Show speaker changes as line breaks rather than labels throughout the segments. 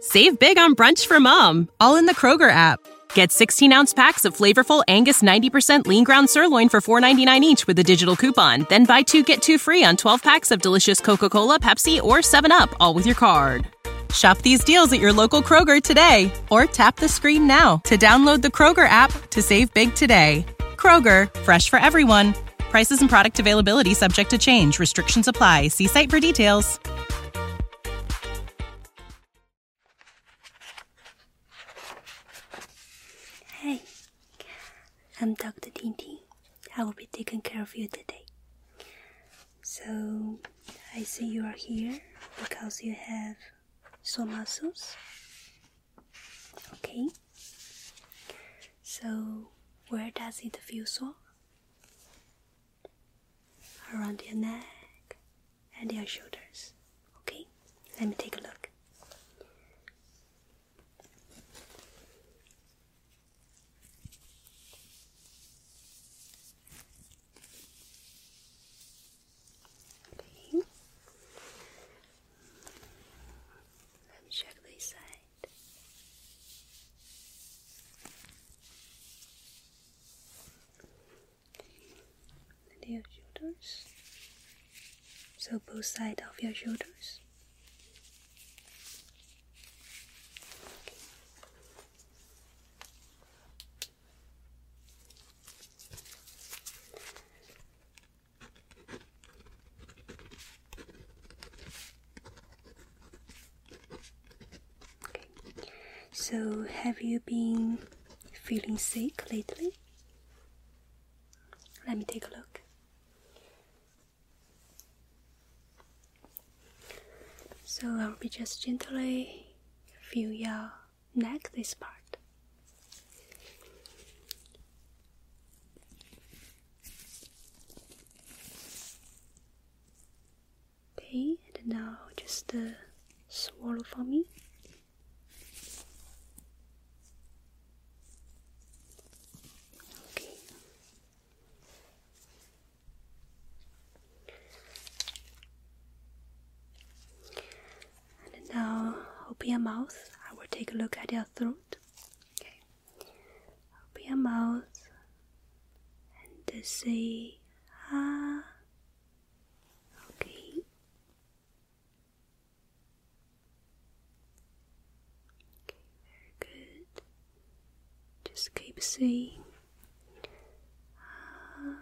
Save big on brunch for mom, all in the Kroger app. Get 16 ounce packs of flavorful Angus 90% lean ground sirloin for $4.99 each with a digital coupon. Then buy two get two free on 12 packs of delicious Coca Cola, Pepsi, or 7UP, all with your card. Shop these deals at your local Kroger today or tap the screen now to download the Kroger app to save big today. Kroger, fresh for everyone. Prices and product availability subject to change. Restrictions apply. See site for details business.
I'm Dr. Tintin. I will be taking care of you today. So, I see you are here because you have sore muscles. Okay. So, where does it feel sore? around your neck and your shoulders. Okay, let me take a look. Okay. Let me check this side it. shoulders. So both sides of your shoulders. So, have you been feeling sick lately? Let me take a look. So, I'll be just gently feel your neck, this part. Okay, and now just swallow for me. Okay. And now open your mouth. I will take a look at your throat. Okay. Open your mouth and just say ah. Okay. Okay, very good. Just keep saying ah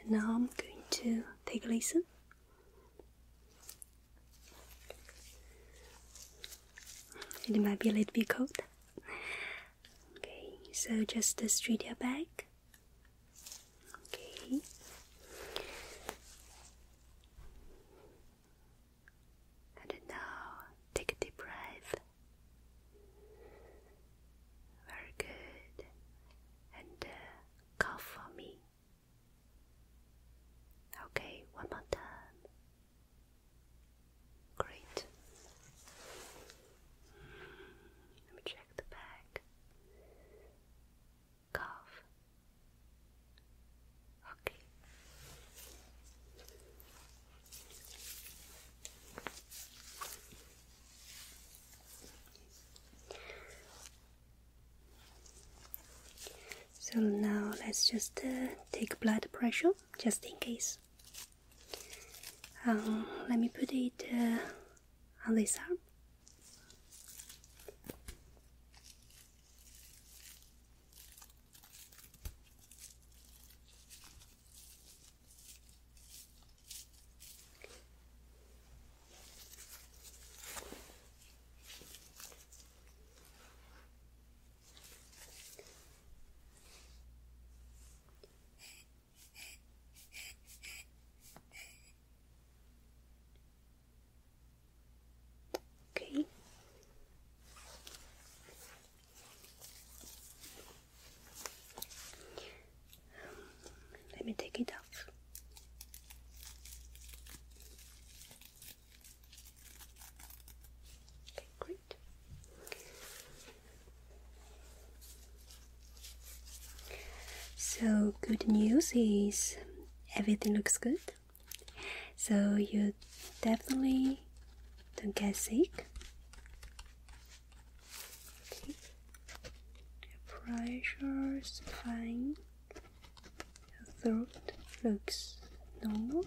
and now I'm going to take a listen. It might be a little bit cold. Okay, so just straight your back Okay. And now take a deep breath. Very good. And uh, cough for me. Okay, one more time. Great. Let me check the back cough. Okay. So now let's just uh, take blood pressure just in case. Um, let me put it uh, on this arm. Okay. Let me take it off. Okay, great. So, good news is everything looks good. So, you definitely don't get sick. Okay. pressure's fine. Your throat looks normal.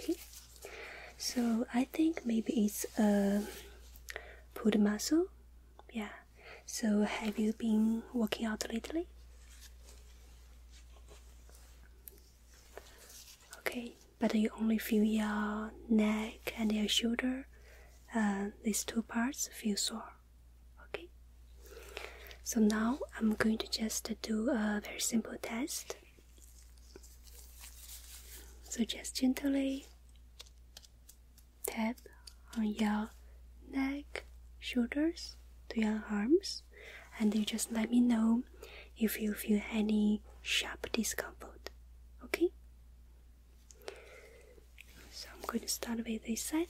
Okay. So, I think maybe it's a uh, pulled muscle. Yeah. So have you been working out lately? Okay, but you only feel your neck and your shoulder. Uh, these two parts feel sore. Okay. So now I'm going to just do a very simple test. So just gently Tap on your neck, shoulders, to your arms, and you just let me know if you feel any sharp discomfort. Okay? So I'm going to start with this side.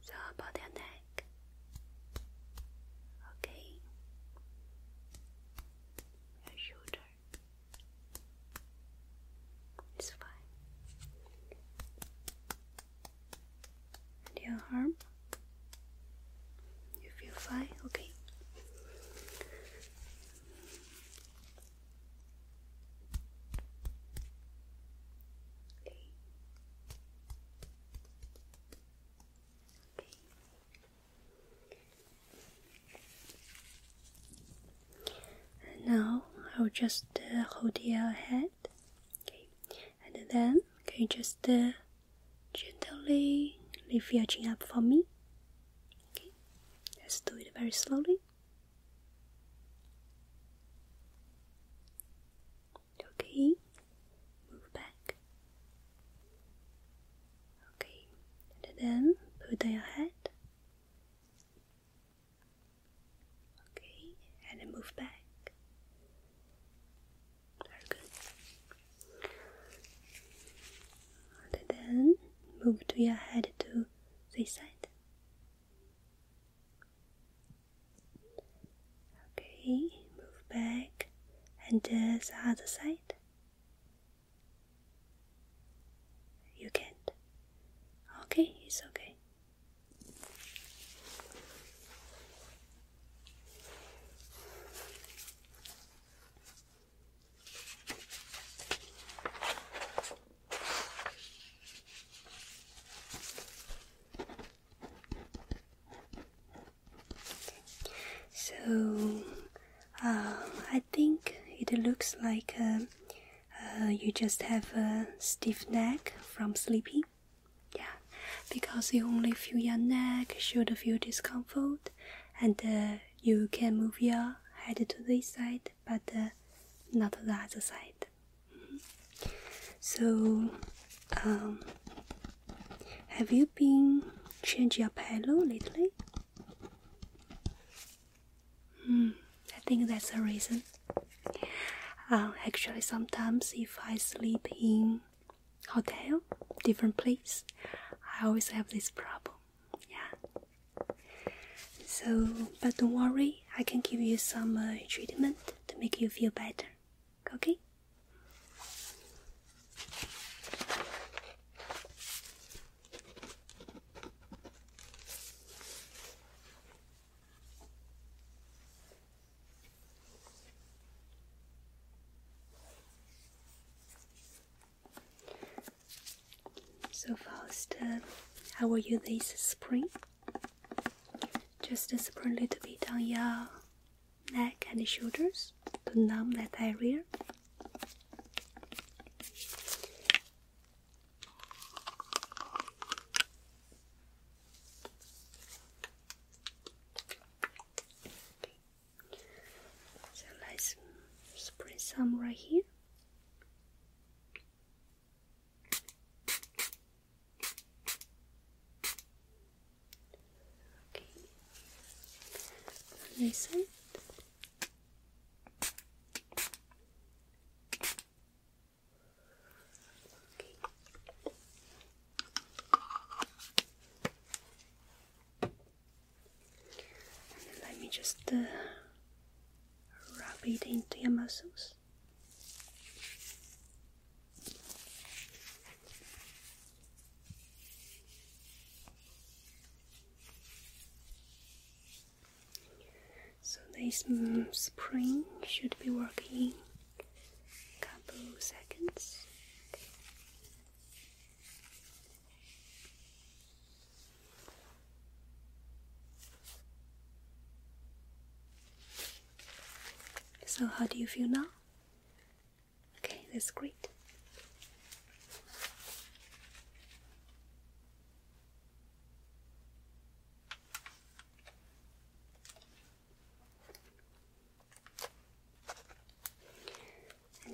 So about your neck. Okay. Your shoulder. It's fine. And your arm. You feel fine? Okay. And now I'll just uh, hold your head. And then can you just uh, gently lift your chin up for me? Let's do it very slowly. Okay, move back. Okay, then put down your head. Okay, and move back. Very good. And then move to your head too suicide. Okay, move back and uh, the other side. You can't. Okay, it's okay. So, uh, I think it looks like uh, uh, you just have a stiff neck from sleeping. Yeah, because you only feel your neck should feel discomfort, and you can move your head to this side but uh, not the other side. Mm-hmm. So, um, have you been changing your pillow lately? Mm, I think that's the reason. Uh, actually, sometimes if I sleep in hotel, different place, I always have this problem yeah. So, but don't worry, I can give you some uh, treatment to make you feel better. Okay? So, Faust, uh, how are you this spring? Just spray a little bit on your neck and shoulders to numb that area. Okay. So let's spray some right here. Okay. This side. Okay let me just uh, rub it into your muscles. So this mm, spring should be working a couple seconds. So, how do you feel now? Okay, that's great.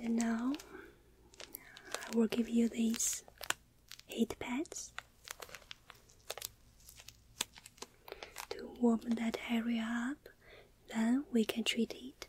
And now I will give you these heat pads to warm that area up, then we can treat it.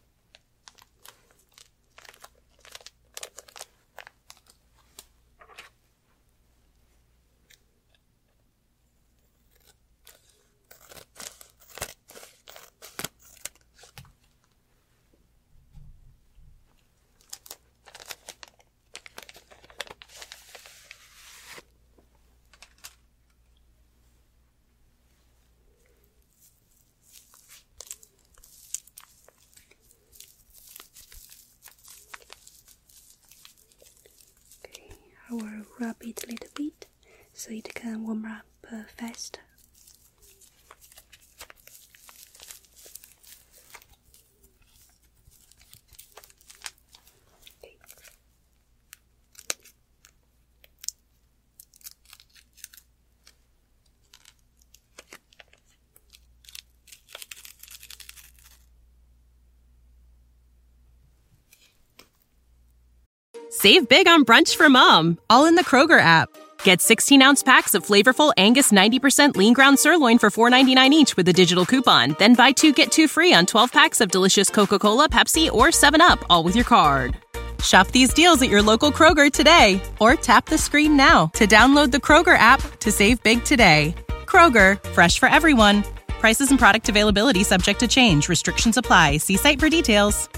Okay, I will rub it a little bit so it can warm up uh, faster.
Save big on brunch for mom, all in the Kroger app. Get 16 ounce packs of flavorful Angus 90% lean ground sirloin for $4.99 each with a digital coupon. Then buy two get two free on 12 packs of delicious Coca Cola, Pepsi, or 7UP, all with your card. Shop these deals at your local Kroger today or tap the screen now to download the Kroger app to save big today. Kroger, fresh for everyone. Prices and product availability subject to change. Restrictions apply. See site for details.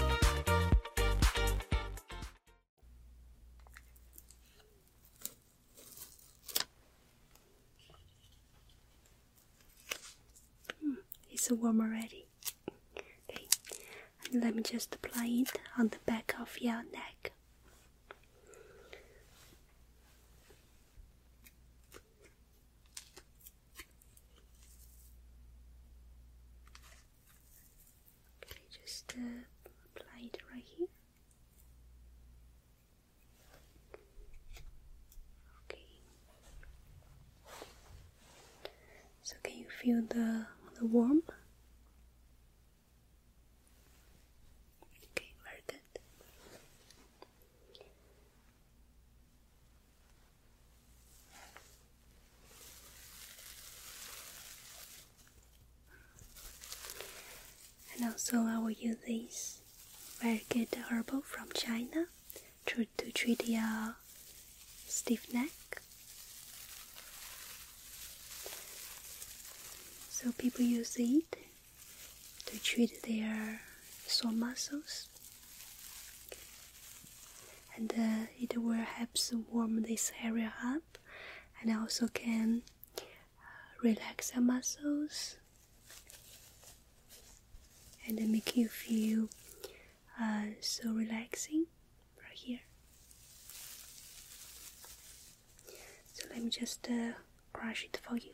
Mm, it's warm already. let me just apply it on the back of your neck. Okay, just uh, apply it right here. Okay. So can you feel the the warm? Okay, very good. And also, I will use this very good herbal from China to, treat the stiff neck. So people use it to treat their sore muscles and it will help warm this area up and also can uh, relax your muscles and make you feel uh, so relaxing right here. So let me just crush uh, it for you.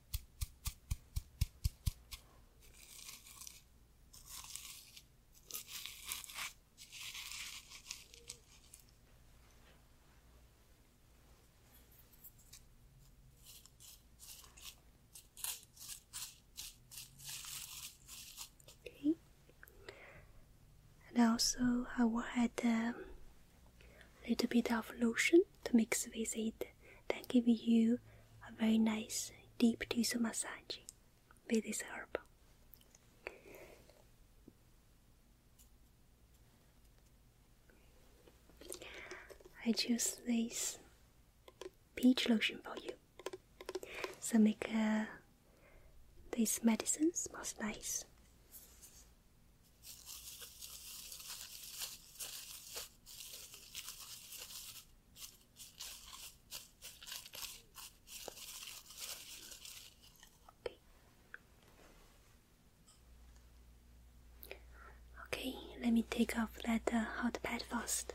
And also, I will add a little bit of lotion to mix with it then give you a very nice deep tissue massage with this herb. I choose this peach lotion for you. So make uh, this medicine smells nice. Okay, let me take off that uh, hot pad first.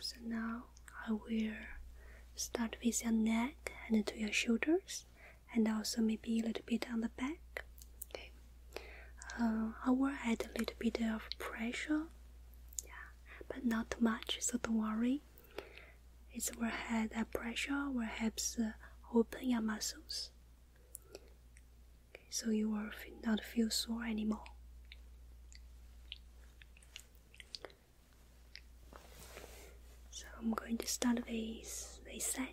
So now I will start with your neck and to your shoulders, and also maybe a little bit on the back. Okay. Uh, I will add a little bit of pressure, yeah, but not too much, so don't worry. It will add a pressure will help uh, open your muscles so you will not feel sore anymore. So I'm going to start with this side.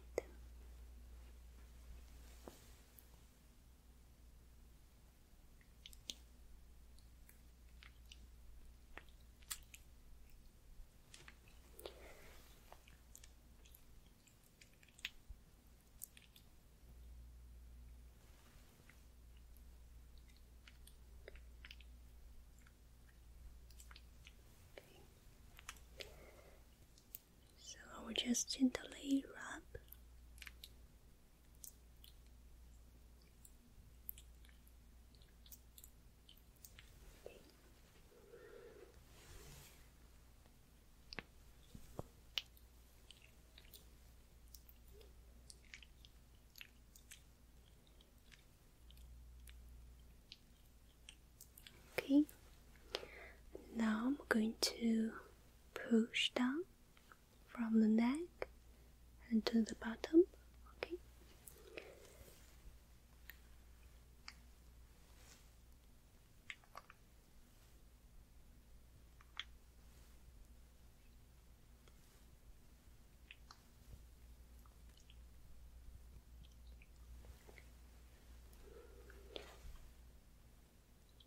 So I will just gently rub. Okay, now I'm going to push down from the neck and to the bottom. Okay.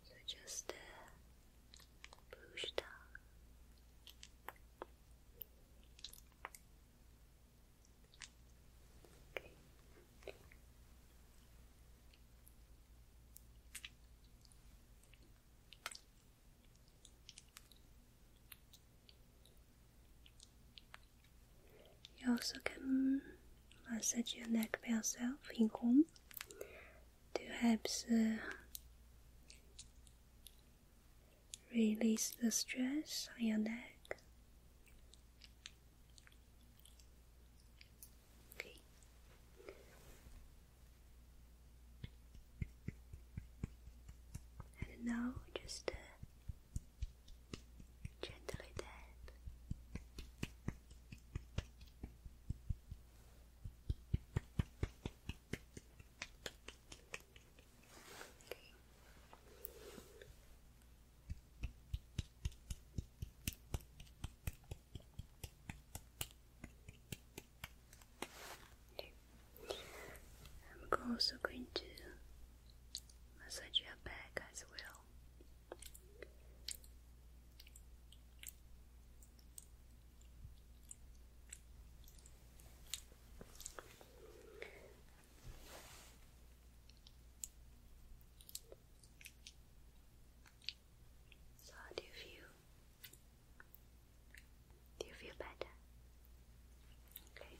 So just uh, push down. You also can massage your neck by yourself in home to help uh, release the stress on your neck. Okay. And now just gently tap. Okay. I'm also going to massage your back as well. So how do you feel? Do you feel better? Okay.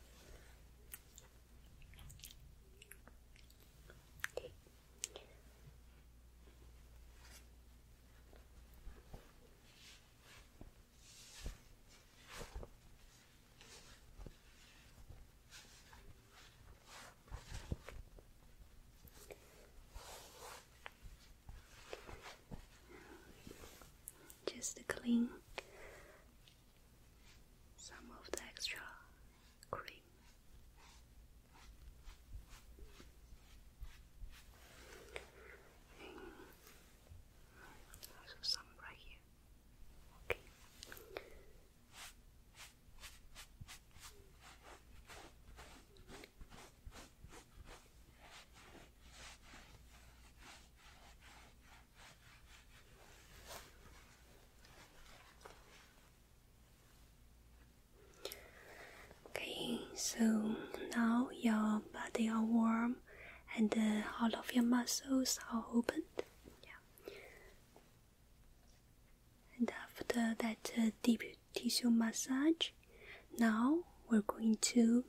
Just to clean some of the extra cream. And some right here. Okay. Okay, so now your body are warm and uh, all of your muscles are opened. Yeah. And after that uh, deep tissue massage, now we're going to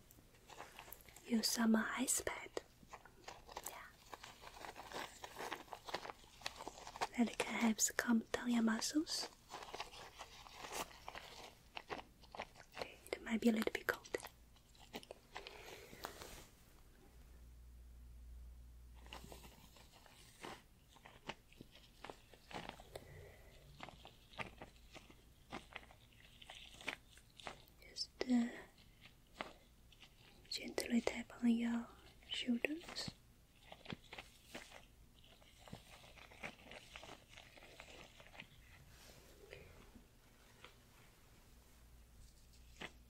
use some ice pad. Yeah. That can help calm down your muscles. it might be a little bit cold. Just uh, gently tap on your shoulders.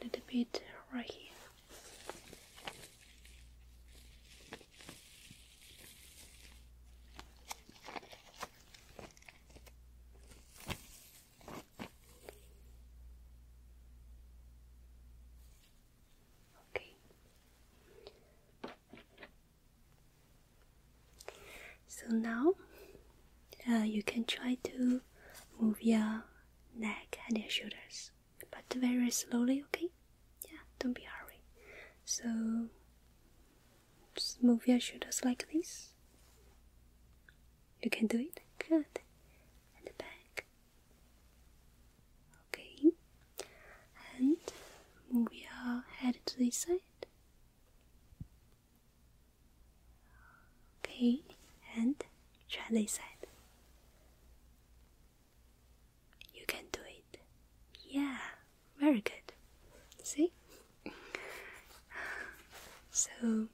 A little bit right here. Okay. So now uh, you can try to move your neck and your shoulders, but very slowly, okay? Yeah, don't be hurry. So move your shoulders like this. You can do it. Good. And back. Okay. And move your head to this side. Okay, and try this side. You can do it. Yeah, very good. See? so,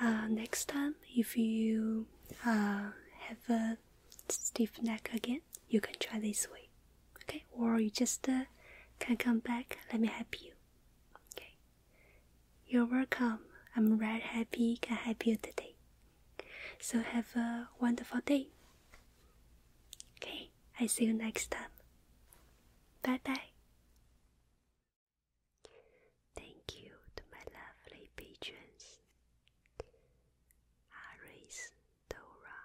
uh, next time, if you uh, have a stiff neck again, you can try this way. Okay, or you just uh, can come back. Let me help you. Okay. You're welcome. I'm very happy can help you today. So have a wonderful day. Okay, I see you next time. Bye bye. Thank you to my lovely patrons Aris, Dora,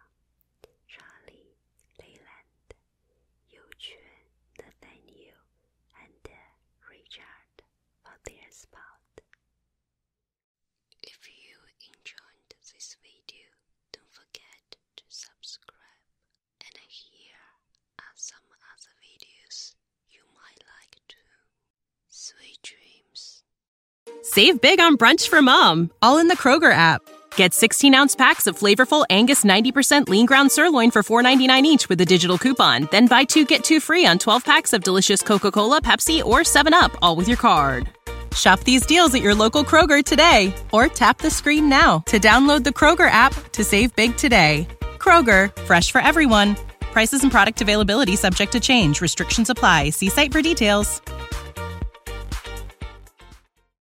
Charlie, Leyland, you thank you and Richard for their support. If you enjoyed this video, don't forget to
subscribe. And here are some other videos you might like too. Sweet dreams. Save big on brunch for mom, all in the Kroger app. Get 16 ounce packs of flavorful Angus 90% lean ground sirloin for $4.99 each with a digital coupon. Then buy two get two free on 12 packs of delicious Coca Cola, Pepsi, or 7UP, all with your card. Shop these deals at your local Kroger today or tap the screen now to download the Kroger app to save big today. Kroger, fresh for everyone. Prices and product availability subject to change. Restrictions apply. See site for details.